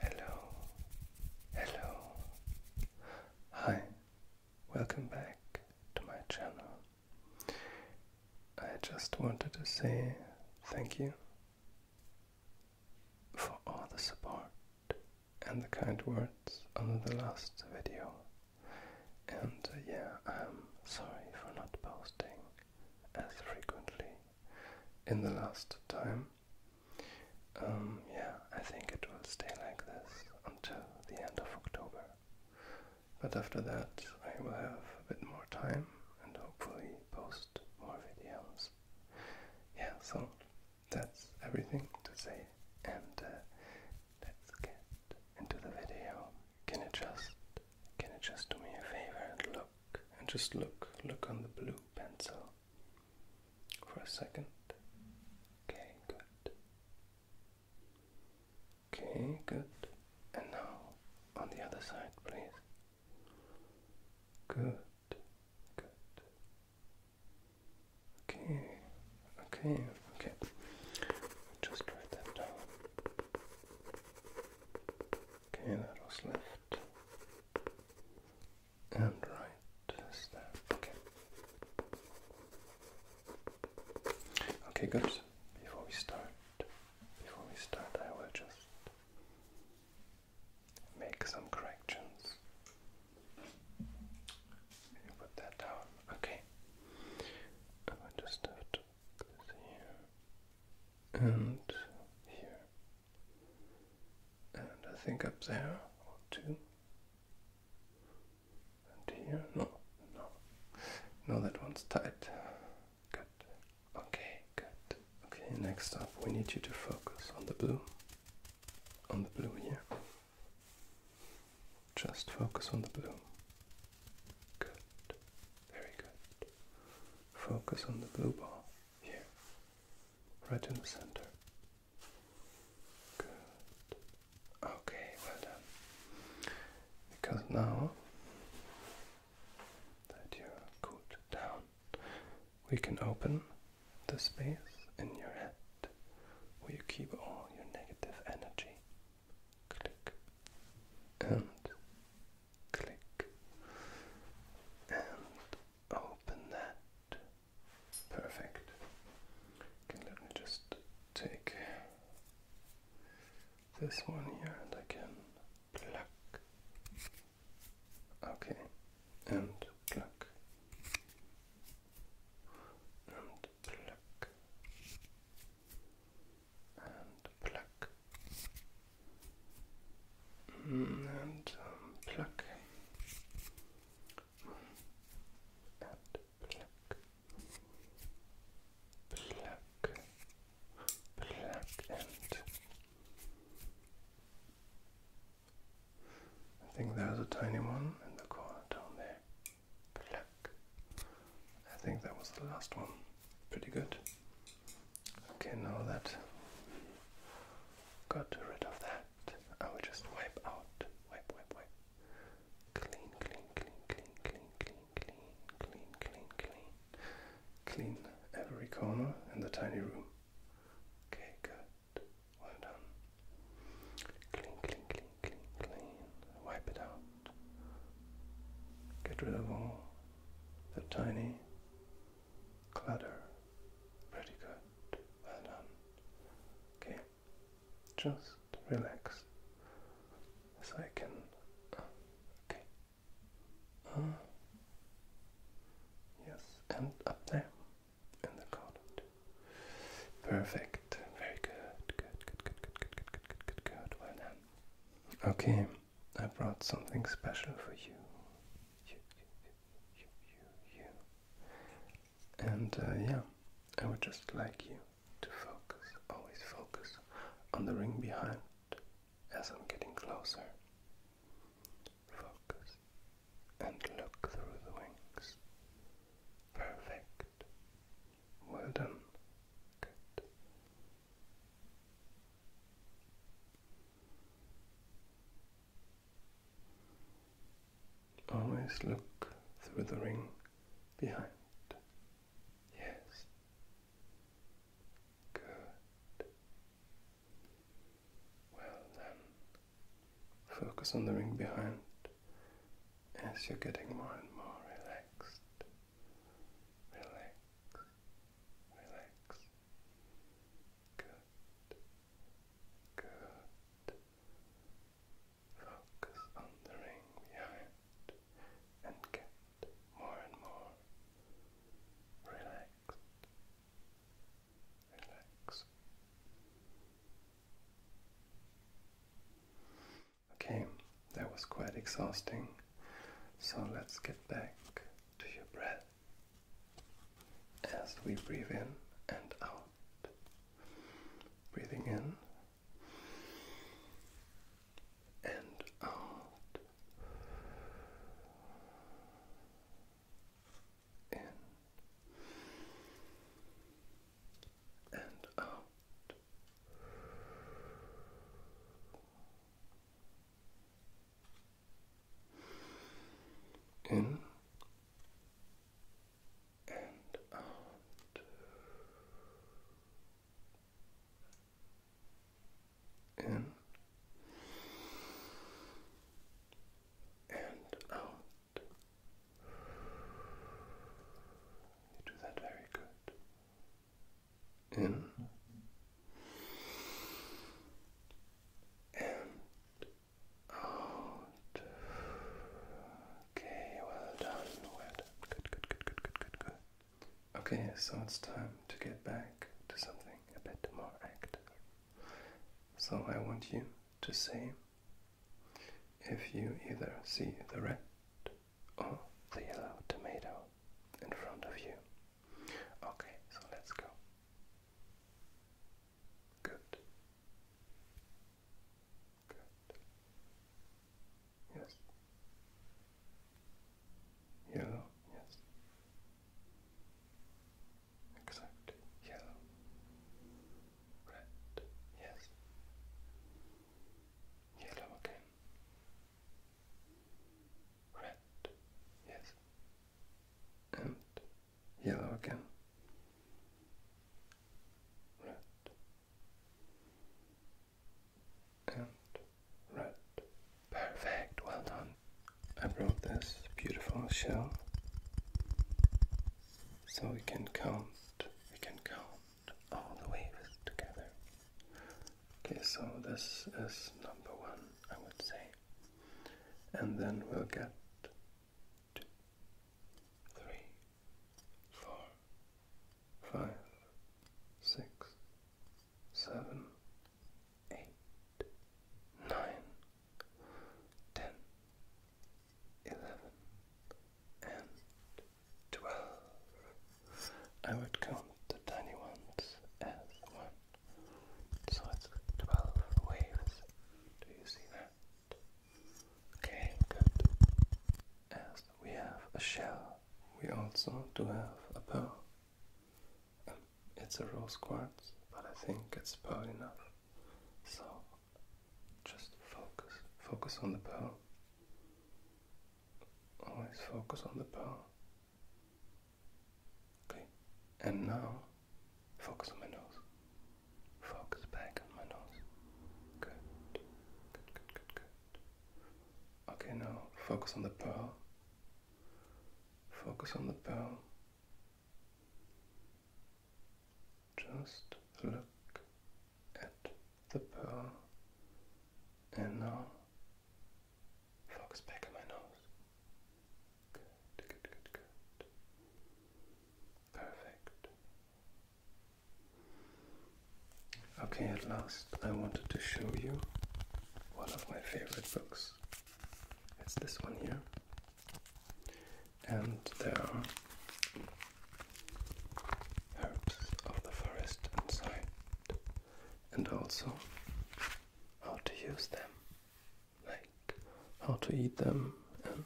Hello, hello. Hi, welcome back to my channel. I just wanted to say thank you for all the support and the kind words on the last video. And uh, yeah, I'm sorry for not posting as frequently in the last time. Um, yeah, I think it will stay like this until the end of October. But after that, I will have a bit more time and hopefully post more videos. Yeah, so that's everything to say, and uh, let's get into the video. Can you just, can you just do me a favor and look, and just look, look on the blue pencil for a second. Okay, good. Okay, good. And now on the other side, please. Good, good. Okay, okay, okay. Just write that down. Okay, that was left and right step. Okay. Okay, good. Before we start, before we start, I will just make some corrections. put that down. Okay. I will just have to this here and here and I think up there or two. And here, no, no, no, that one's tight. Good. Okay, good. Okay, next up, we need you to focus on the blue, on the blue here. Just focus on the blue. Good. Very good. Focus on the blue ball here right in the center. Good. Okay, well done. Because now that you're cooled down, we can open the space in your head where you keep all your negative energy. Click and click and open that. Perfect. Okay, let me just take this one here and I can pluck. Okay, and pluck. And pluck. And pluck. Mm, and um, pluck and pluck pluck pluck and I think there's a tiny one in the corner down there. Pluck. I think that was the last one. Pretty good. Okay, now that got rid of that, I will just wipe out. Wipe, wipe, wipe. Clean, clean, clean, clean, clean, clean, clean, clean, clean, clean. every corner in the tiny room. Okay, good. Well done. Clean, clean, clean, clean, clean. Wipe it out. Get rid of all the tiny clutter. Pretty good. Well done. Okay. Just relax. So I can. Okay. Uh, yes, and up there in the corner. Perfect. Very good. Good, good, good, good, good, good, good, good, good. Well done. Okay, I brought something special for you, you, you, you. And uh, yeah, I would just like you to focus, always focus on the ring behind as I'm getting closer. Focus and look through the wings. Perfect. Well done. Good. Always look through the ring behind. Yes. Good. Well then, focus on the ring behind as you're getting more and more relaxed. Relax. Relax. Good. Good. Focus on the ring behind and get more and more relaxed. Relax. Okay, that was quite exhausting. So let's get back to your breath as we breathe in and out. Breathing in and out. In and out in and out, in and out. You do that very good. In and out. Okay, well done. Well done. Good, good, good, good, good, good, good. Okay, so it's time to get back to something a bit more active. So I want you to say if you either see the red or the yellow tomato in front of you. Okay, so let's go. Good. Good. Yes. Yellow, yes. Exactly. Yellow. Red, yes. Yellow again. Red, yes. And yellow again. Red and red. Perfect, well done. I brought this beautiful shell so we can count, we can count all the waves together. Okay, so this is number one, I would say and then we'll get two, three, four, five, six, seven, eight, nine, ten, eleven, and twelve. I would count the tiny ones as one. So it's 12 waves. Do you see that? Okay, good. we have a shell, we also do have a pearl. Um, it's a rose quartz, but I think it's pearl enough. So just focus, focus on the pearl. Always focus on the pearl. Okay, and now focus on my nose. Focus back on my nose. Good, good, good, good, good. Okay, now focus on the pearl. Focus on the pearl. Just look at the pearl, and now Focus back on my nose. Good, good, good, good. Perfect. Okay, at last, I wanted to show you one of my favorite books. It's this one here. And there are herbs of the forest inside, and also how to use them like how to eat them and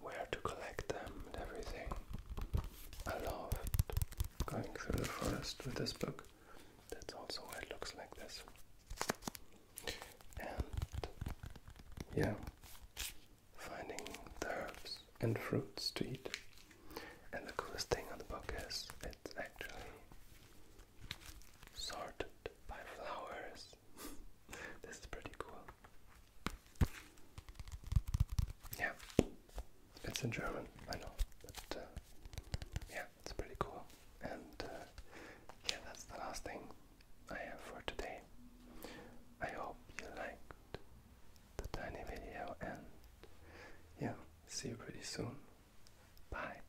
where to collect them and everything. I love going through the forest with this book. That's also why it looks like this. And yeah, finding herbs and fruits to eat. And the coolest thing on the book is it's actually sorted by flowers. this is pretty cool. Yeah, it's in German, I know, but uh, yeah, it's pretty cool. And uh, yeah, that's the last thing I have for today. I hope you liked the tiny video, and yeah, see you pretty soon. Bye.